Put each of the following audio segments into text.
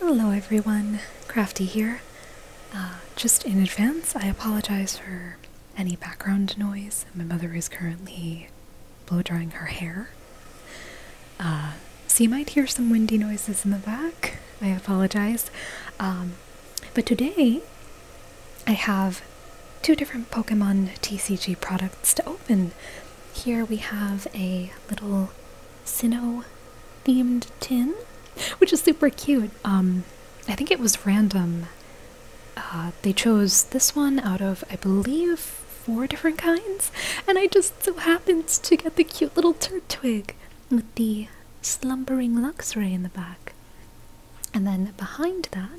Hello everyone, Crafty here. Uh, just in advance, I apologize for any background noise. My mother is currently blow drying her hair. Uh, so you might hear some windy noises in the back. I apologize. Um, but today, I have two different Pokemon TCG products to open. Here we have a little Sinnoh themed tin, which is super cute. Um, I think it was random. Uh, they chose this one out of, I believe, four different kinds, and I just so happened to get the cute little turd twig with the slumbering luxray in the back. And then behind that,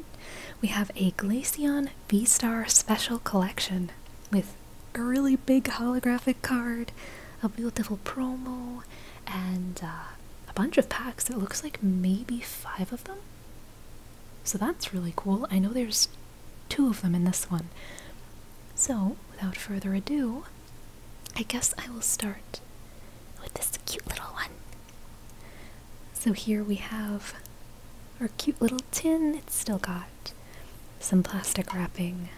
we have a Glaceon V-Star Special Collection with a really big holographic card, a beautiful promo, and uh, a bunch of packs. It looks like maybe five of them. So that's really cool. I know there's two of them in this one. So, without further ado, I guess I will start with this cute little one. So, here we have our cute little tin. It's still got some plastic wrapping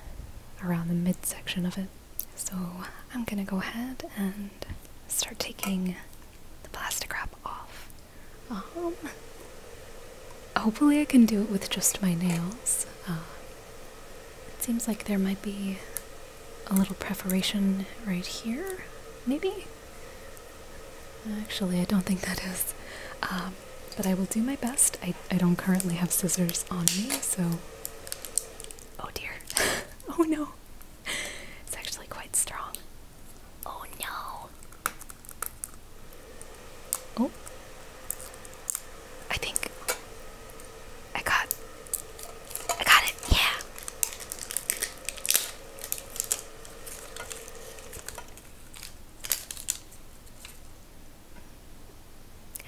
around the midsection of it. So I'm gonna go ahead and start taking the plastic wrap off. Um, hopefully I can do it with just my nails. Uh, it seems like there might be a little perforation right here, maybe? Actually, I don't think that is. Um, but I will do my best. I, I don't currently have scissors on me, so. Oh dear. oh no. It's actually quite strong. Oh no. Oh. I think I got I got it. Yeah.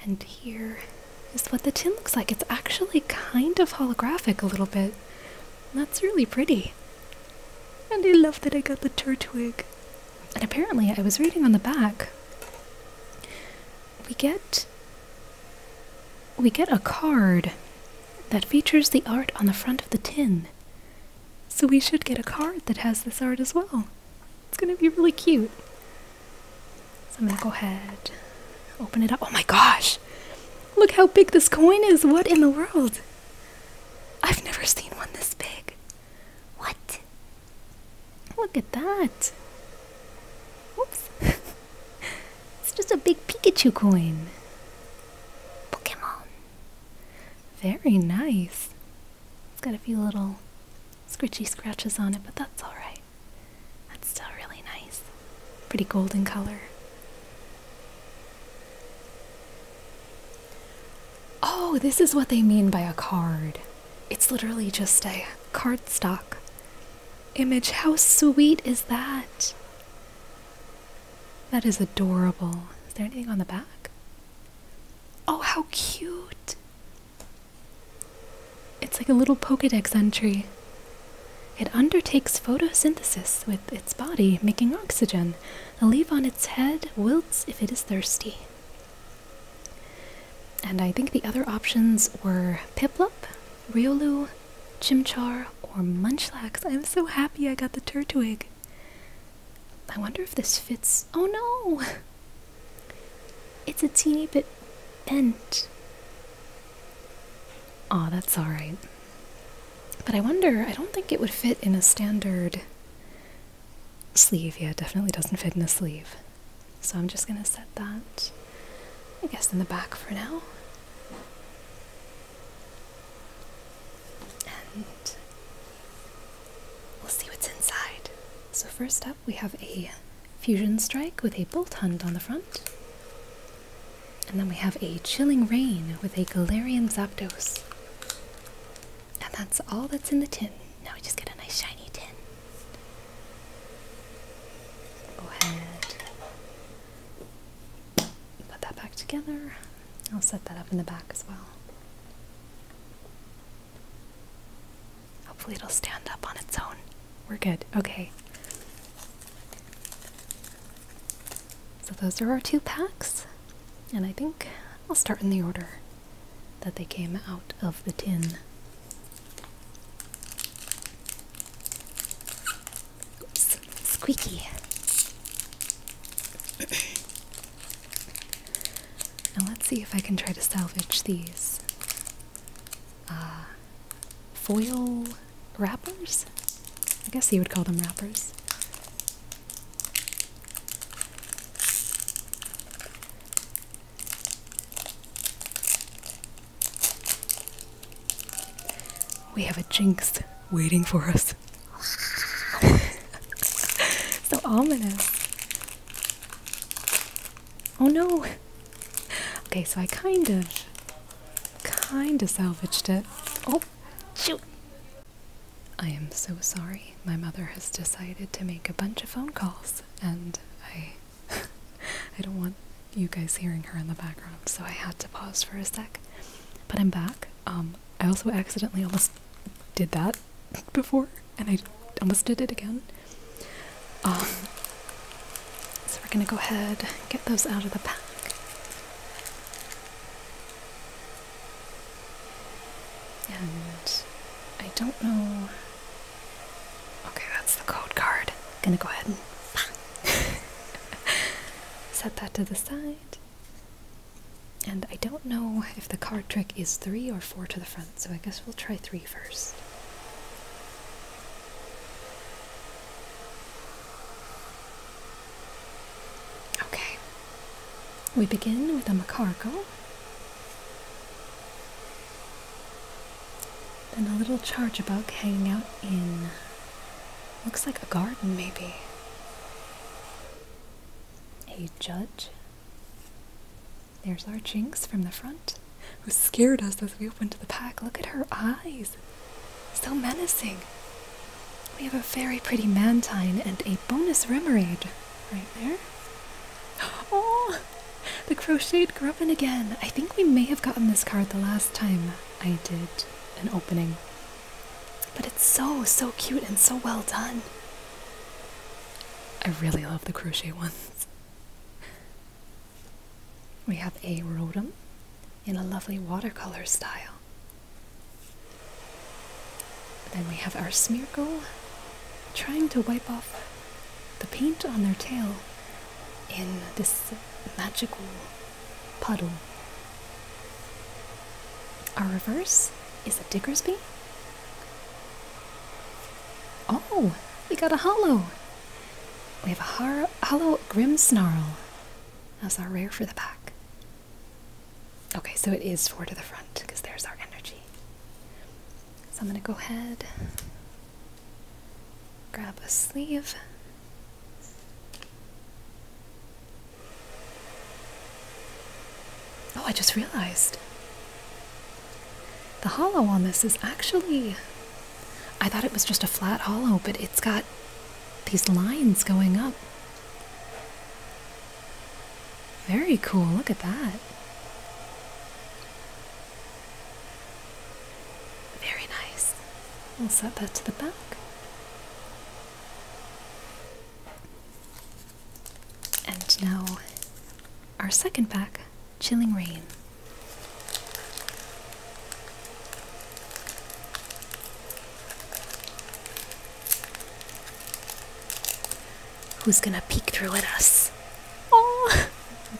And here is what the tin looks like. It's actually kind of holographic a little bit. That's really pretty. And I love that I got the turtwig. And apparently, I was reading on the back, we get we get a card that features the art on the front of the tin. So we should get a card that has this art as well. It's gonna be really cute. So I'm gonna go ahead, open it up. Oh my gosh! Look how big this coin is! What in the world? I've never seen one this big. What? Look at that! Whoops! it's just a big Pikachu coin. Pokemon. Very nice. It's got a few little scritchy scratches on it, but that's alright. That's still really nice. Pretty golden color. Oh, this is what they mean by a card. It's literally just a cardstock image. How sweet is that? That is adorable. Is there anything on the back? Oh, how cute! It's like a little Pokedex entry. It undertakes photosynthesis with its body, making oxygen. The leaf on its head wilts if it is thirsty. And I think the other options were Piplup, Riolu, Chimchar, or Munchlax. I'm so happy I got the Turtwig. I wonder if this fits. Oh no! It's a teeny bit bent. Aw, oh, that's alright. But I wonder, I don't think it would fit in a standard sleeve. Yeah, definitely doesn't fit in a sleeve. So I'm just gonna set that, I guess, in the back for now. And We'll see what's inside. So, first up, we have a Fusion Strike with a Bolt Hunt on the front. And then we have a Chilling Rain with a Galarian Zapdos. And that's all that's in the tin. Now we just get a nice shiny tin. Go ahead. Put that back together. I'll set that up in the back as well. Hopefully, it'll stand up on its own. We're good. Okay. So, those are our two packs. And I think I'll start in the order that they came out of the tin. Oops, squeaky. Now let's see if I can try to salvage these uh, foil wrappers? I guess you would call them wrappers. We have a jinx waiting for us. The ominous. Oh no! Okay, so I kind of, kind of salvaged it. Oh, shoot! I am so sorry. My mother has decided to make a bunch of phone calls, and I, I don't want you guys hearing her in the background, so I had to pause for a sec. But I'm back. Um, I also accidentally almost did that before, and I almost did it again. Um, so we're gonna go ahead and get those out of the pack. And I don't know. Okay, that's the code card. Gonna go ahead and set that to the side. And I don't know if the card trick is three or four to the front, so I guess we'll try three first. Okay. We begin with a macargo. Then a little charge chargebug hanging out in looks like a garden maybe. A judge. There's our Jinx from the front, who scared us as we opened the pack. Look at her eyes. So menacing. We have a very pretty Mantine and a bonus Remoraid right there. Oh! The crocheted Grubbin again. I think we may have gotten this card the last time I did an opening. But it's so, so cute and so well done. I really love the crochet ones. We have a rotum in a lovely watercolor style. Then we have our Smeargle trying to wipe off the paint on their tail in this magical puddle. Our reverse is a Diggersby Oh, we got a hollow. We have a har hollow snarl. That's our rare for the back. Okay, so it is four to the front because there's our energy. So I'm going to go ahead, grab a sleeve. Oh, I just realized the hollow on this is actually. I thought it was just a flat hollow, but it's got these lines going up. Very cool, look at that. Very nice. We'll set that to the back. And now, our second pack Chilling Rain. Who's gonna peek through at us? Oh!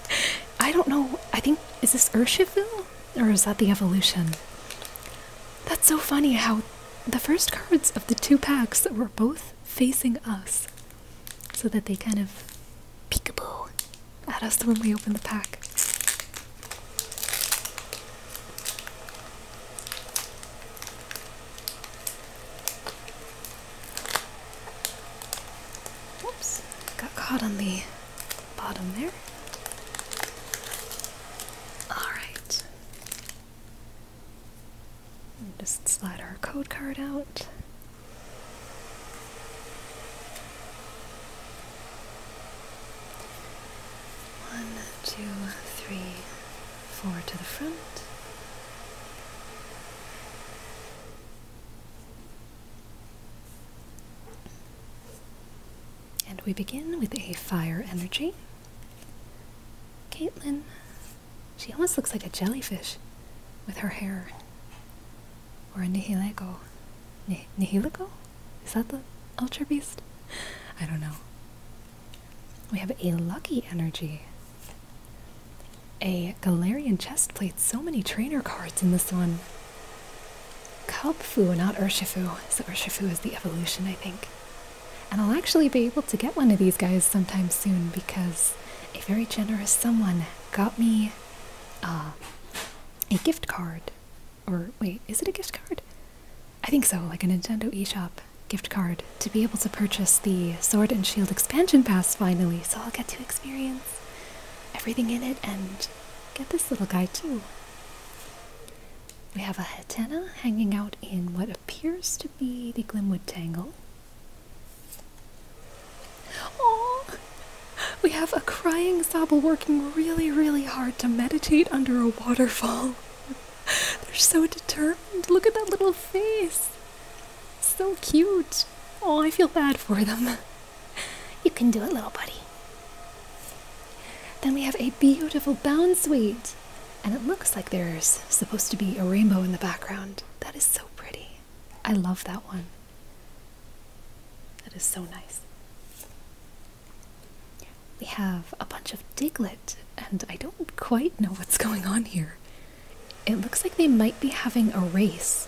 I don't know. I think. Is this Urshifu? Or is that the evolution? That's so funny how the first cards of the two packs were both facing us so that they kind of peekaboo at us when we open the pack. Whoops, got caught on the bottom there. Alright just slide our code card out. One, two, three, four to the front. And we begin with a fire energy. Caitlin, she almost looks like a jellyfish with her hair. Or a Nihilego. nihilego? Is that the Ultra Beast? I don't know. We have a Lucky Energy. A Galarian played So many trainer cards in this one. Kalpfu, not Urshifu. So Urshifu is the evolution, I think. And I'll actually be able to get one of these guys sometime soon because a very generous someone got me uh, a gift card. Or wait, is it a gift card? I think so, like a Nintendo eShop gift card to be able to purchase the Sword and Shield expansion pass finally, so I'll get to experience everything in it and get this little guy too. We have a Hetena hanging out in what appears to be the Glimwood Tangle. Oh, we have a crying Sable working really, really hard to meditate under a waterfall. They're so determined. Look at that little face. So cute. Oh, I feel bad for them. You can do it, little buddy. Then we have a beautiful bound suite, and it looks like there's supposed to be a rainbow in the background. That is so pretty. I love that one. That is so nice. We have a bunch of diglet, and I don't quite know what's going on here. It looks like they might be having a race.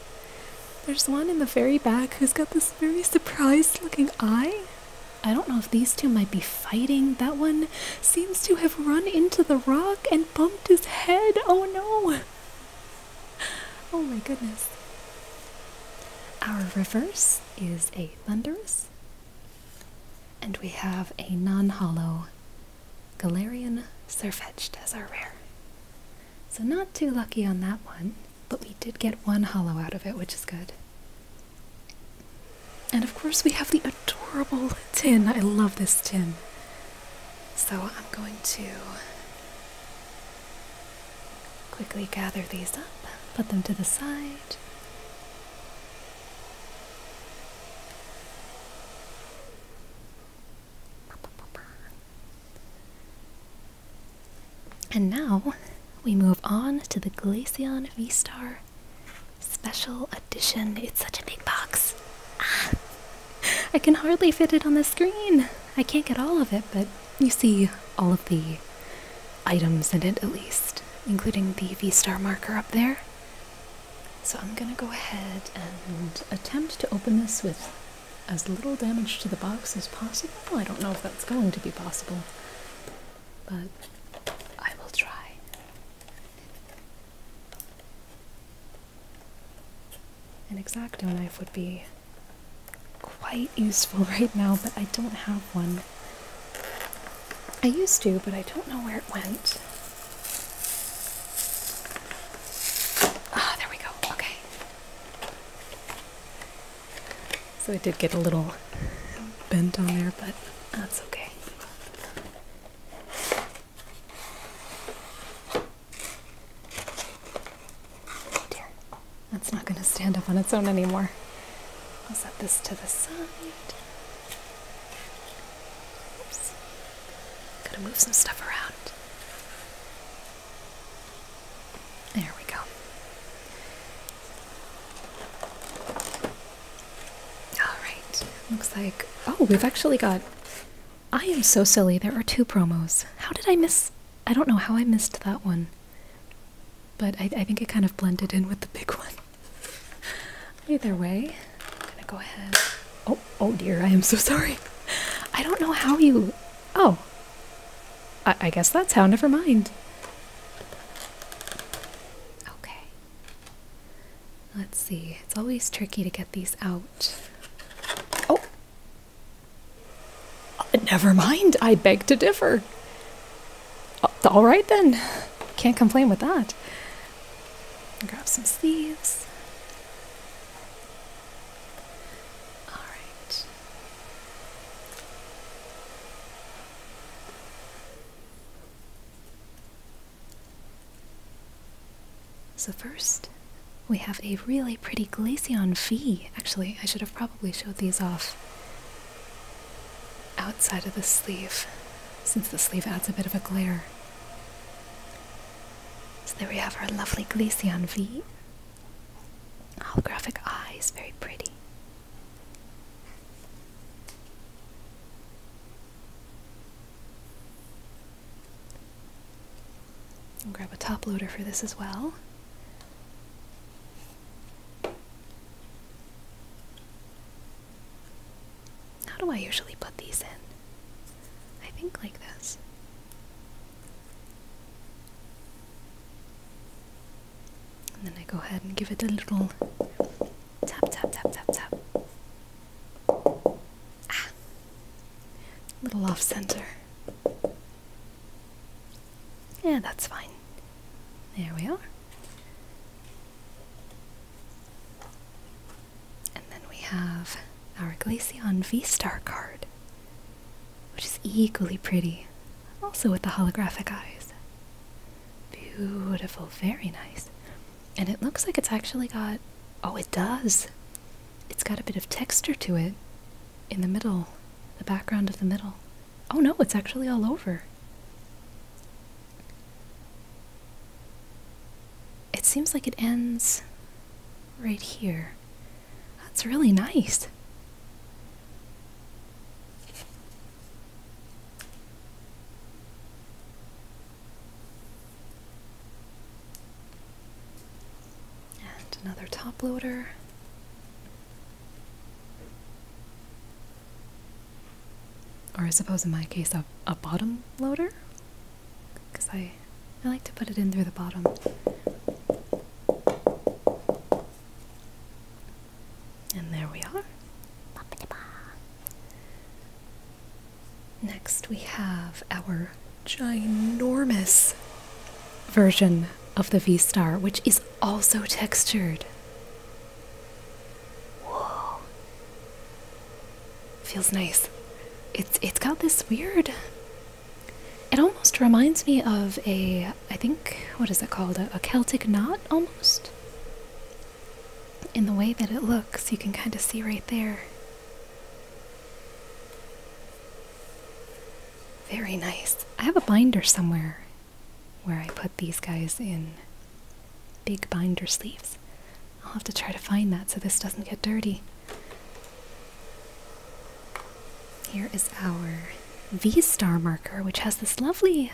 There's one in the very back who's got this very surprised looking eye. I don't know if these two might be fighting. That one seems to have run into the rock and bumped his head. Oh no! Oh my goodness. Our reverse is a thunderous, and we have a non hollow Galarian Surfetched as our rare. So, not too lucky on that one, but we did get one hollow out of it, which is good. And of course, we have the adorable tin. I love this tin. So I'm going to quickly gather these up, put them to the side. And now we move on to the Glaceon V-Star Special Edition. It's such a big box. Ah. I can hardly fit it on the screen. I can't get all of it, but you see all of the items in it at least, including the V star marker up there. So I'm gonna go ahead and attempt to open this with as little damage to the box as possible. I don't know if that's going to be possible, but I will try. An exacto knife would be quite useful right now, but I don't have one. I used to, but I don't know where it went. Ah, there we go. Okay. So it did get a little bent on there, but that's okay. Oh dear, that's not going to stand up on its own anymore. I'll set this to the side. Oops. Gotta move some stuff around. There we go. Alright, looks like. Oh, we've actually got I am so silly. There are two promos. How did I miss? I don't know how I missed that one. But I, think it kind of blended in with the big one. Either way, I'm gonna go ahead. Oh, oh dear, I am so sorry. I don't know how you. Oh. I, I guess that's how. Never mind. Okay. Let's see. It's always tricky to get these out out. Oh! Uh, never mind, I beg to differ. Uh, all right then. Can't complain with that. Grab some sleeves. All right. So first, we have a really pretty Glaceon V. Actually, I should have probably showed these off outside of the sleeve, since the sleeve adds a bit of a glare. So there we have our lovely Glaceon V. Holographic eyes, very pretty. I'll grab a top loader for this as well. How do I usually put these in? I think like this. And then I go ahead and give it a little tap, tap, tap, tap, tap. Ah, little off center. Yeah, that's fine. There we are. And then we have our Glaceon V Star card, which is equally pretty, also with the holographic eyes. Beautiful, very nice. And it looks like it's actually got. Oh, it does! it's got a bit of texture to it in the middle, the background of the middle. Oh no, it's actually all over. It seems like it ends right here. That's really nice. And another top loader. Or I suppose in my case a, a bottom loader because I, I like to put it in through the bottom. And there we are. Next, we have our ginormous version of the V Star, which is also textured. Whoa. Feels nice. It's it's got this weird. It almost reminds me of a I think what is it called a, a Celtic knot almost. In the way that it looks, you can kind of see right there. Very nice. I have a binder somewhere where I put these guys in big binder sleeves. I'll have to try to find that so this doesn't get dirty. Here is our V star marker, which has this lovely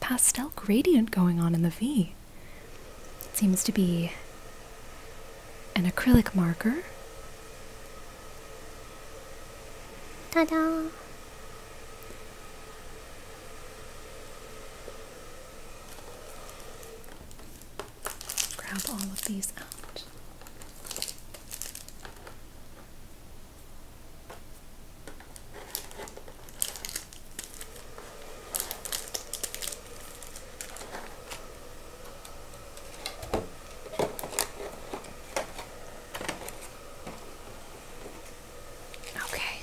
pastel gradient going on in the V. It seems to be an acrylic marker. Ta-da! Grab all of these out. Okay.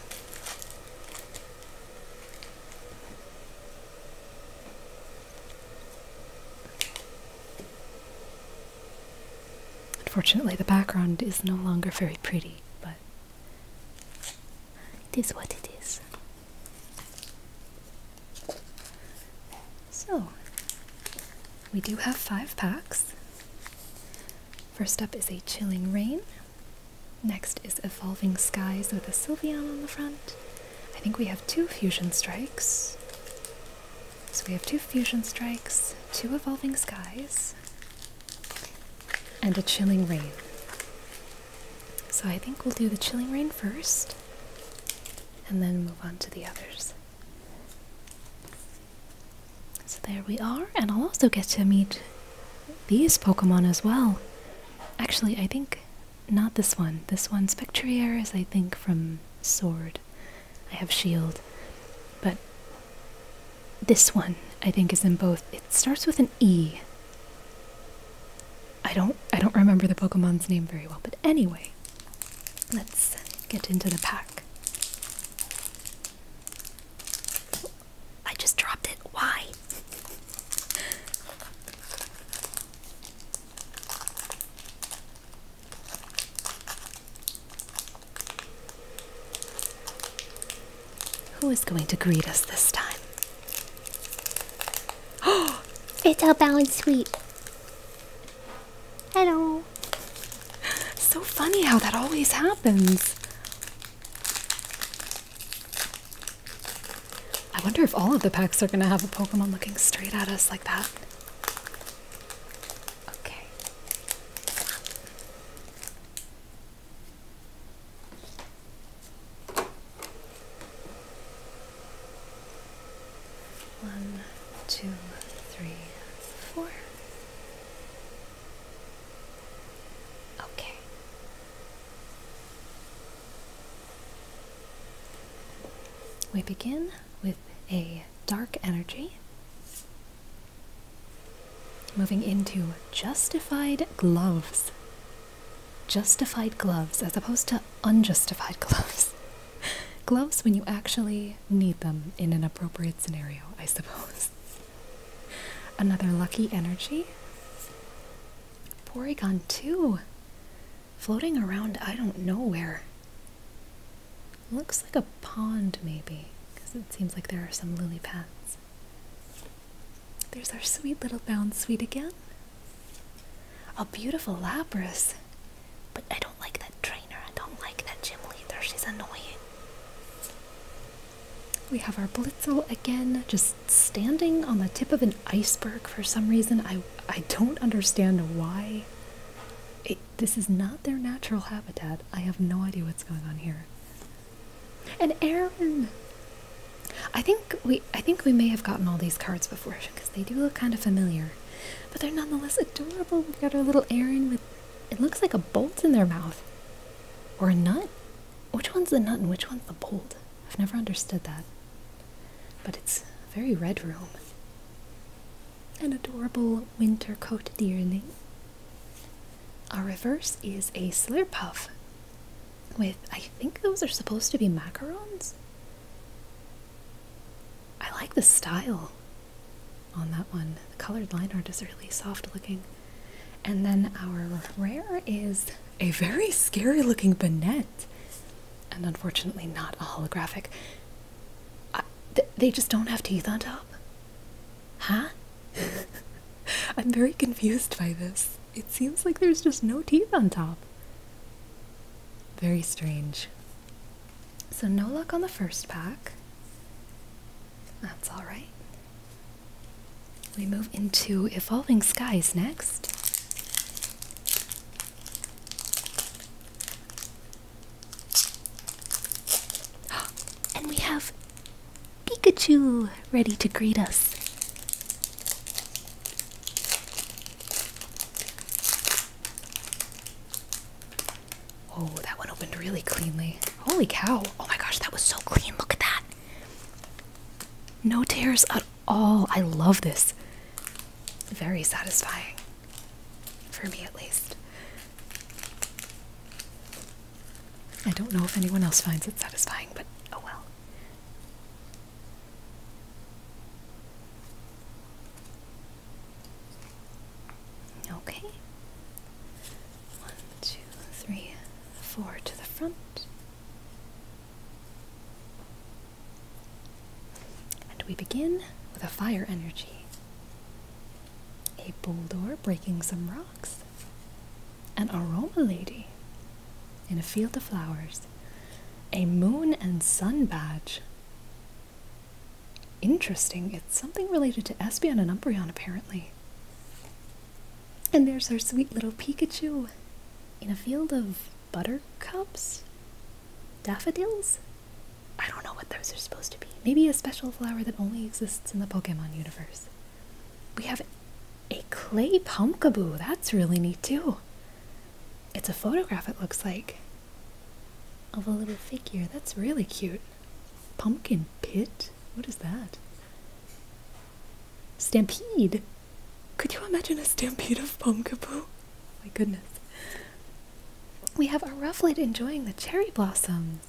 Unfortunately, the background is no longer very pretty, but it is what it is. So, we do have five packs. First up is a Chilling Rain. Next is Evolving Skies with a Sylvian on the front. I think we have two Fusion Strikes. So we have two Fusion Strikes, two Evolving Skies, and a Chilling Rain. So I think we'll do the chilling rain first and then move on to the others. So there we are, and I'll also get to meet these Pokemon as well. Actually, I think not this one. This one, Spectrier, is I think from Sword. I have Shield. But this one, I think, is in both. It starts with an E. I don't I don't remember the Pokemon's name very well, but anyway, let's get into the pack. Oh, I just dropped it. Why? Who is going to greet us this time? it's a balanced sweet. Hello. So funny how that always happens. I wonder if all of the packs are going to have a Pokemon looking straight at us like that. Okay. One, two, three, four. Okay. We begin with a dark energy, moving into justified gloves justified gloves as opposed to unjustified gloves. gloves when you actually need them in an appropriate scenario, I suppose. Another lucky energy. Porygon too. Floating around, I don't know where. Looks like a pond, maybe, because it seems like there are some lily pads. There's our sweet little bound sweet again. A beautiful Lapras. But I don't like that trainer. I don't like that gym leader. She's annoying. We have our Blitzel again, just standing on the tip of an iceberg for some reason. I, I don't understand why. this is not their natural habitat. I have no idea what's going on here. And Aaron! I think we I think we may have gotten all these cards because they do look kind of familiar. But they're nonetheless adorable. We've got our little Erin with it looks like a bolt in their mouth. Or a nut. Which one's the nut and which one's the bolt? I've never understood that. But it's a very red room. An adorable winter coat dearling. Our reverse is a slurpuff with I think those are supposed to be macarons. I like the style on that one. The colored line art is really soft looking. And then our rare is a very scary looking bonnet, And unfortunately, not a holographic. they just don't have teeth on top. Huh? I'm very confused by this. It seems like there's just no teeth on top. Very strange. So, no luck on the first pack. That's alright. We move into Evolving Skies next. And we have Pikachu ready to greet us. Oh, that one opened really cleanly. Holy cow. Oh my gosh, that was so clean. Look at that. No tears at all. I love this. Very satisfying. For me, at least. I don't know if anyone else finds it satisfying, but oh well. Okay. One, two, three, four to the front. And we begin with a fire energy. A boulder breaking some rocks. An aroma lady in a field of flowers. A moon and sun badge. Interesting. It's something related to Espeon and Umbreon, apparently. And there's our sweet little Pikachu in a field of buttercups? Daffodils? I don't know what those are supposed to be. Maybe a special flower that only exists in the Pokemon universe. We have a clay pumpkaboo. That's really neat, too. It's a photograph, it looks like, of a little figure. That's really cute. Pumpkin pit? What is that? Stampede! Could you imagine a stampede of pumpkaboo? My goodness. We have Aruflid enjoying the cherry blossoms.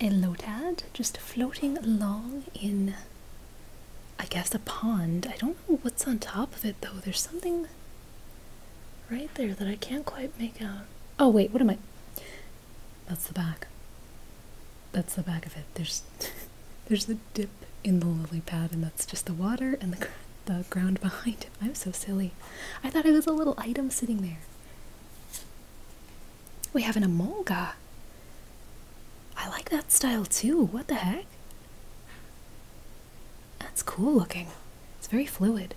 A Lotad just floating along in I guess a pond. I don't know what's on top of it though. There's something right there that I can't quite make out. Oh wait, what am I? That's the back. That's the back of it. There's there's the dip in the lily pad and that's just the water and the the ground behind it. I'm so silly. I thought it was a little item sitting there. We have an Amolga. I like that style too. What the heck? That's cool looking. It's very fluid.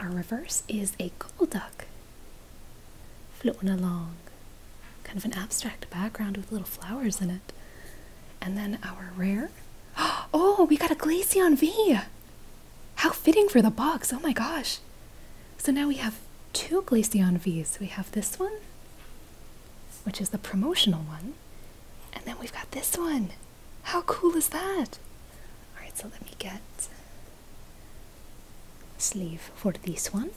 Our reverse is a gold duck floating along. Kind of an abstract background with little flowers in it. And then our rare. Oh, we got a Glaceon V! How fitting for the box. Oh my gosh. So now we have two Glaceon Vs. We have this one which is the promotional one. And then we've got this one. How cool is that? All right, so let me get sleeve for this one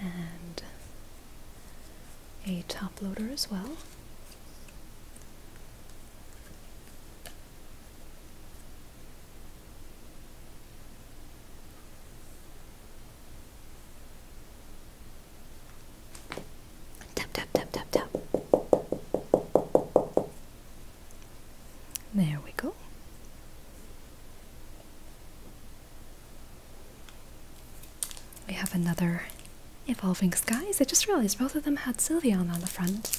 and a top loader as well. Tap, tap, tap, tap, tap. There we go. We have another Evolving Skies. I just realized both of them had Sylveon on the front.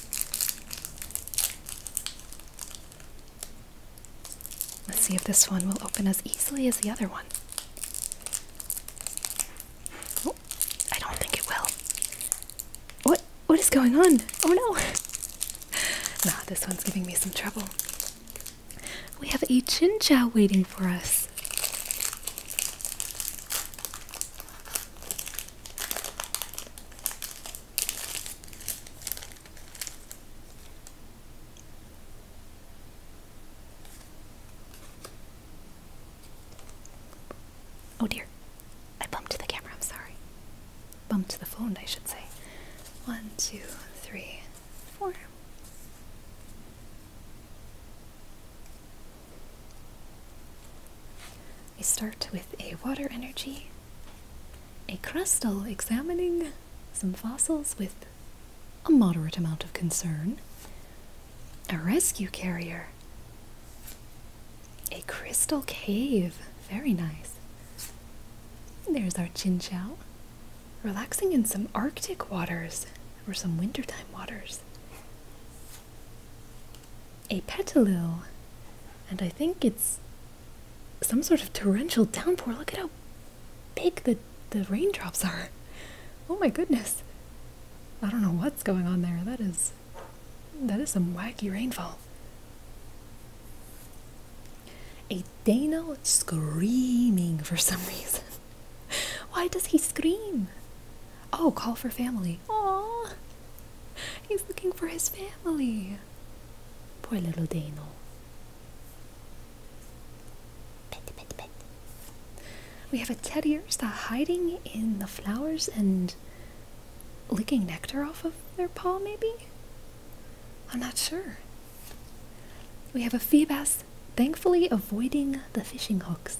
Let's see if this one will open as easily as the other one. Oh, I don't think it will. What? What is going on? Oh no! nah, this one's giving me some trouble. We have a chin chow waiting for us. Oh dear, I bumped the camera, I'm sorry. Bumped the phone, I should say. One, two, three, four. We start with a water energy, a crystal examining some fossils with a moderate amount of concern, a rescue carrier, a crystal cave, very nice. There's our Chin Chow, relaxing in some Arctic waters or some wintertime waters. A petaloo, and I think it's some sort of torrential downpour. Look at how big the, the raindrops are. Oh my goodness. I don't know what's going on there. That is that is some wacky rainfall. A Dano screaming for some reason. Why does he scream? Oh, call for family. Aww. He's looking for his family. Poor little Dano. We have a teddy ursa hiding in the flowers and licking nectar off of their paw, maybe? I'm not sure. We have a fee thankfully avoiding the fishing hooks,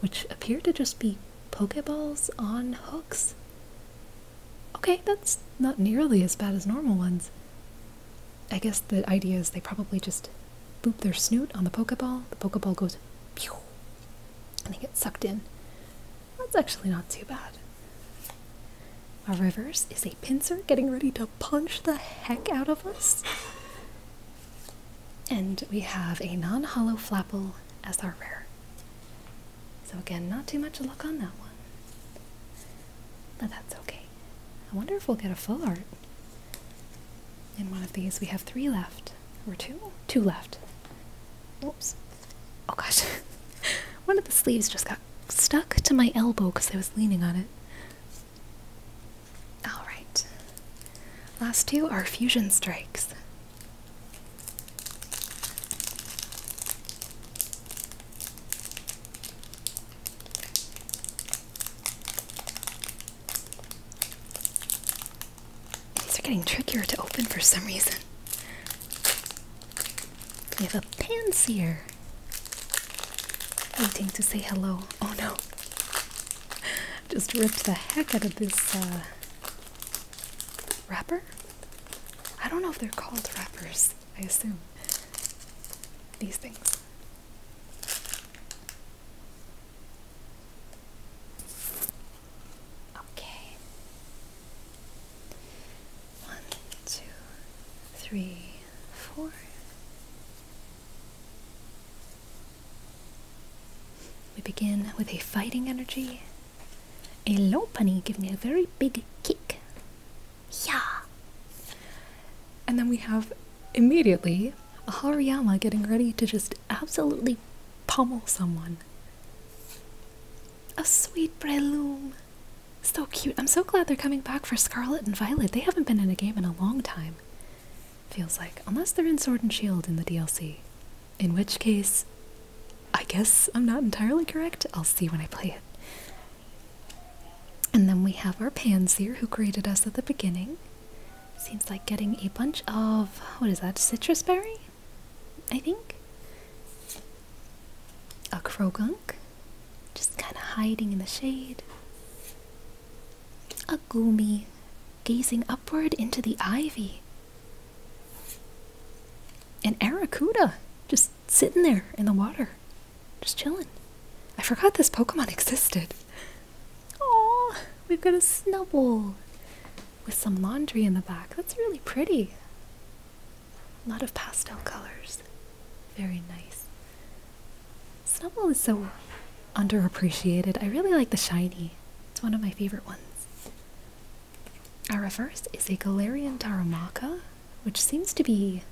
which appear to just be pokeballs on hooks. Okay, that's not nearly as bad as normal ones. I guess the idea is they probably just boop their snoot on the pokeball, the pokeball goes and they get sucked in. That's actually not too bad. Our reverse is a pincer getting ready to punch the heck out of us. And we have a non hollow flapple as our rare. So, again, not too much luck on that one. But that's okay. I wonder if we'll get a full art. In one of these, we have three left. Or two? Two left. Oops. Oh gosh. one of the sleeves just got stuck to my elbow because I was leaning on it. Alright. Last two are fusion strikes. These are getting trickier to open for some reason. We have a pan Waiting to say hello. Oh no! Just ripped the heck out of this uh, wrapper. I don't know if they're called wrappers. I assume these things. Okay. One, two, three, four. We begin with a fighting energy. A low punny giving a very big kick. Yeah. And then we have immediately a Hariyama getting ready to just absolutely pummel someone. A sweet prelude. So cute. I'm so glad they're coming back for Scarlet and Violet. They haven't been in a game in a long time. Feels like. Unless they're in Sword and Shield in the DLC. In which case, I guess I'm not entirely correct. I'll see when I play it. And then we have our Pansier who created us at the beginning. Seems like getting a bunch of, what is that, citrus berry? I think? A Krogunk just kind of hiding in the shade. A Agumi gazing upward into the ivy. An Aracuda just sitting there in the water, just chilling. I forgot this Pokemon existed. Oh, we've got a Snubbull, with some laundry in the back. That's really pretty. A lot of pastel colors. Very nice. Snubble is so underappreciated. I really like the shiny. It's one of my favorite ones. Our reverse is a Galarian Taramaka, which seems to be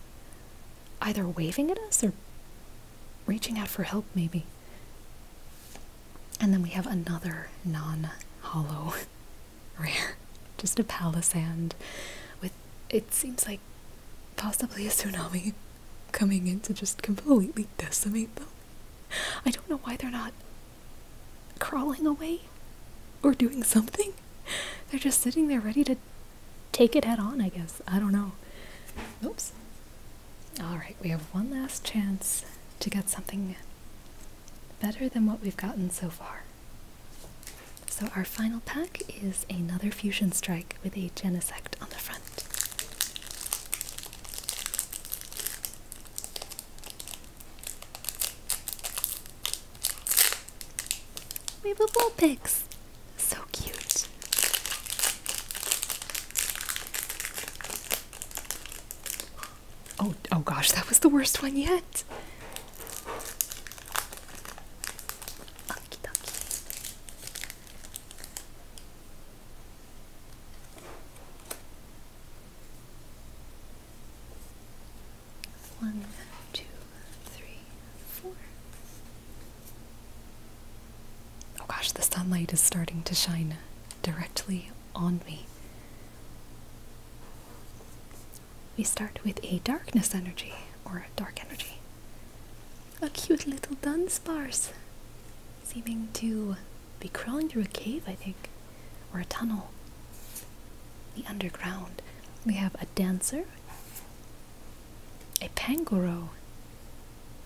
either waving at us or reaching out for help, maybe. And then we have another non hollow rare, just a palisand with it seems like possibly a tsunami coming in to just completely decimate them. I don't know why they're not crawling away or doing something. They're just sitting there ready to take it head on, I guess. I don't know. Oops. Alright, we have one last chance to get something better than what we've gotten so far. So our final pack is another Fusion Strike with a Genesect on the front. We have a So cute! Oh, oh gosh, that was the worst one yet! One, two, three, four. Oh gosh, the sunlight is starting to shine directly on me. We start with a darkness energy or a dark energy. A cute little Dunsparce, seeming to be crawling through a cave, I think, or a tunnel. The underground. We have a dancer, a pangoro,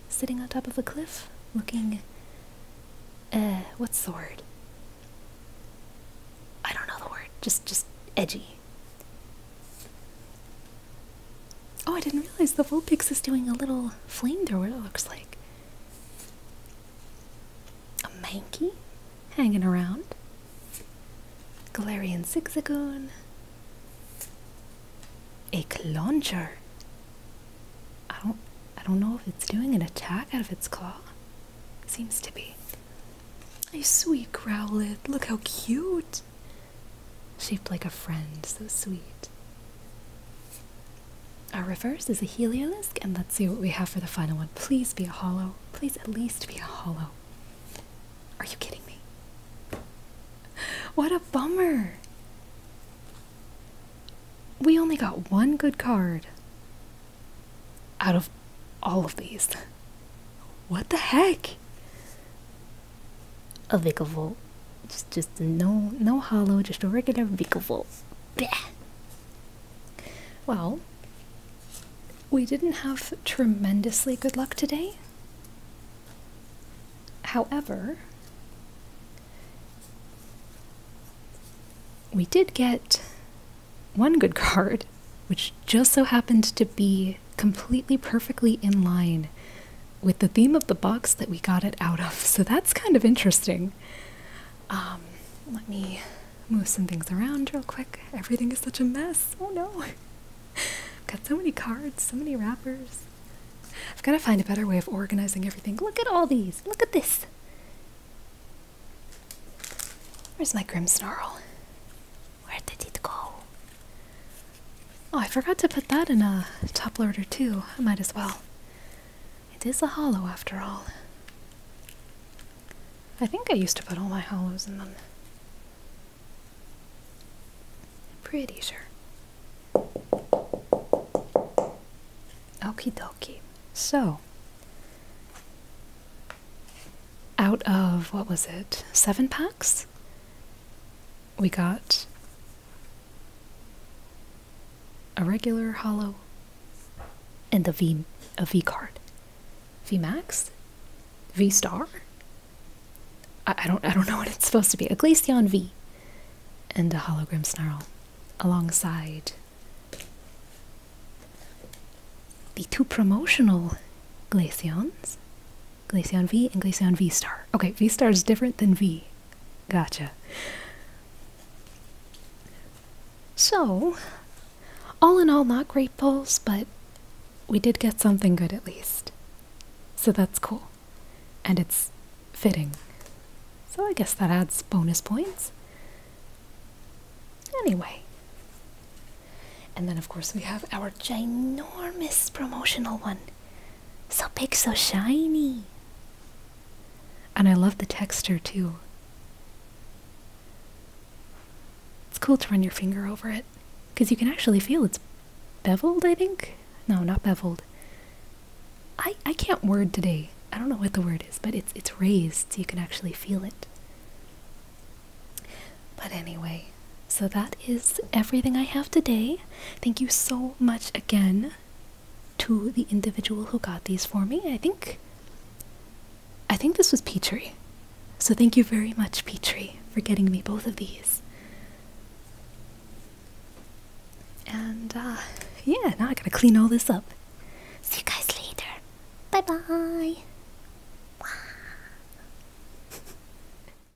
sitting on top of a cliff, looking. Eh, what's the word? I don't know the word. Just, just edgy. Oh, I didn't realize the Vulpix is doing a little flame thrower. it looks like. A Mankey hanging around. Galarian Zigzagoon. A Cloncher. I don't I don't know if it's doing an attack out of its claw. Seems to be. A sweet Growlithe. Look how cute shaped like a friend so sweet. Our reverse is a heliolisk, and let's see what we have for the final one. Please be a hollow. Please at least be a hollow. Are you kidding me? What a bummer! We only got one good card out of all of these. What the heck? a Vicavolt. Just just no no hollow, just a regular Vicavolt. Well, we didn't have tremendously good luck today. However, we did get one good card, which just so happened to be completely perfectly in line with the theme of the box that we got it out of. So that's kind of interesting. Um, let me move some things around real quick. Everything is such a mess. Oh no. I've got so many cards, so many wrappers. I've got to find a better way of organizing everything. Look at all these. Look at this. Where's my Grim Snarl? Where did it go? Oh, I forgot to put that in a top loader too. I might as well. It is a hollow after all. I think I used to put all my hollows in them. Pretty sure. Okie dokie. So, out of what was it? Seven packs? we got a regular hollow and the V a V card. V max? V star? I, don't I don't know what it's supposed to be. A Glaceon V and a hologram snarl alongside the two promotional Glaceons Glaceon V and Glaceon V star. Okay, V star is different than V. Gotcha. So, all in all, not great pulls, but we did get something good at least. So that's cool. And it's fitting. So I guess that adds bonus points. Anyway. And then, of course, we have our ginormous promotional one. So big, so shiny. And I love the texture too. It's cool to run your finger over it because you can actually feel it's beveled, I think. No, not beveled. I I can't word today. I don't know what the word is, but it's it's raised so you can actually feel it. But anyway, so that is everything I have today. Thank you so much again to the individual who got these for me. I think I think this was Petrie. So thank you very much, Petrie, for getting me both of these. And uh yeah, now I gotta clean all this up. See you guys later. Bye bye.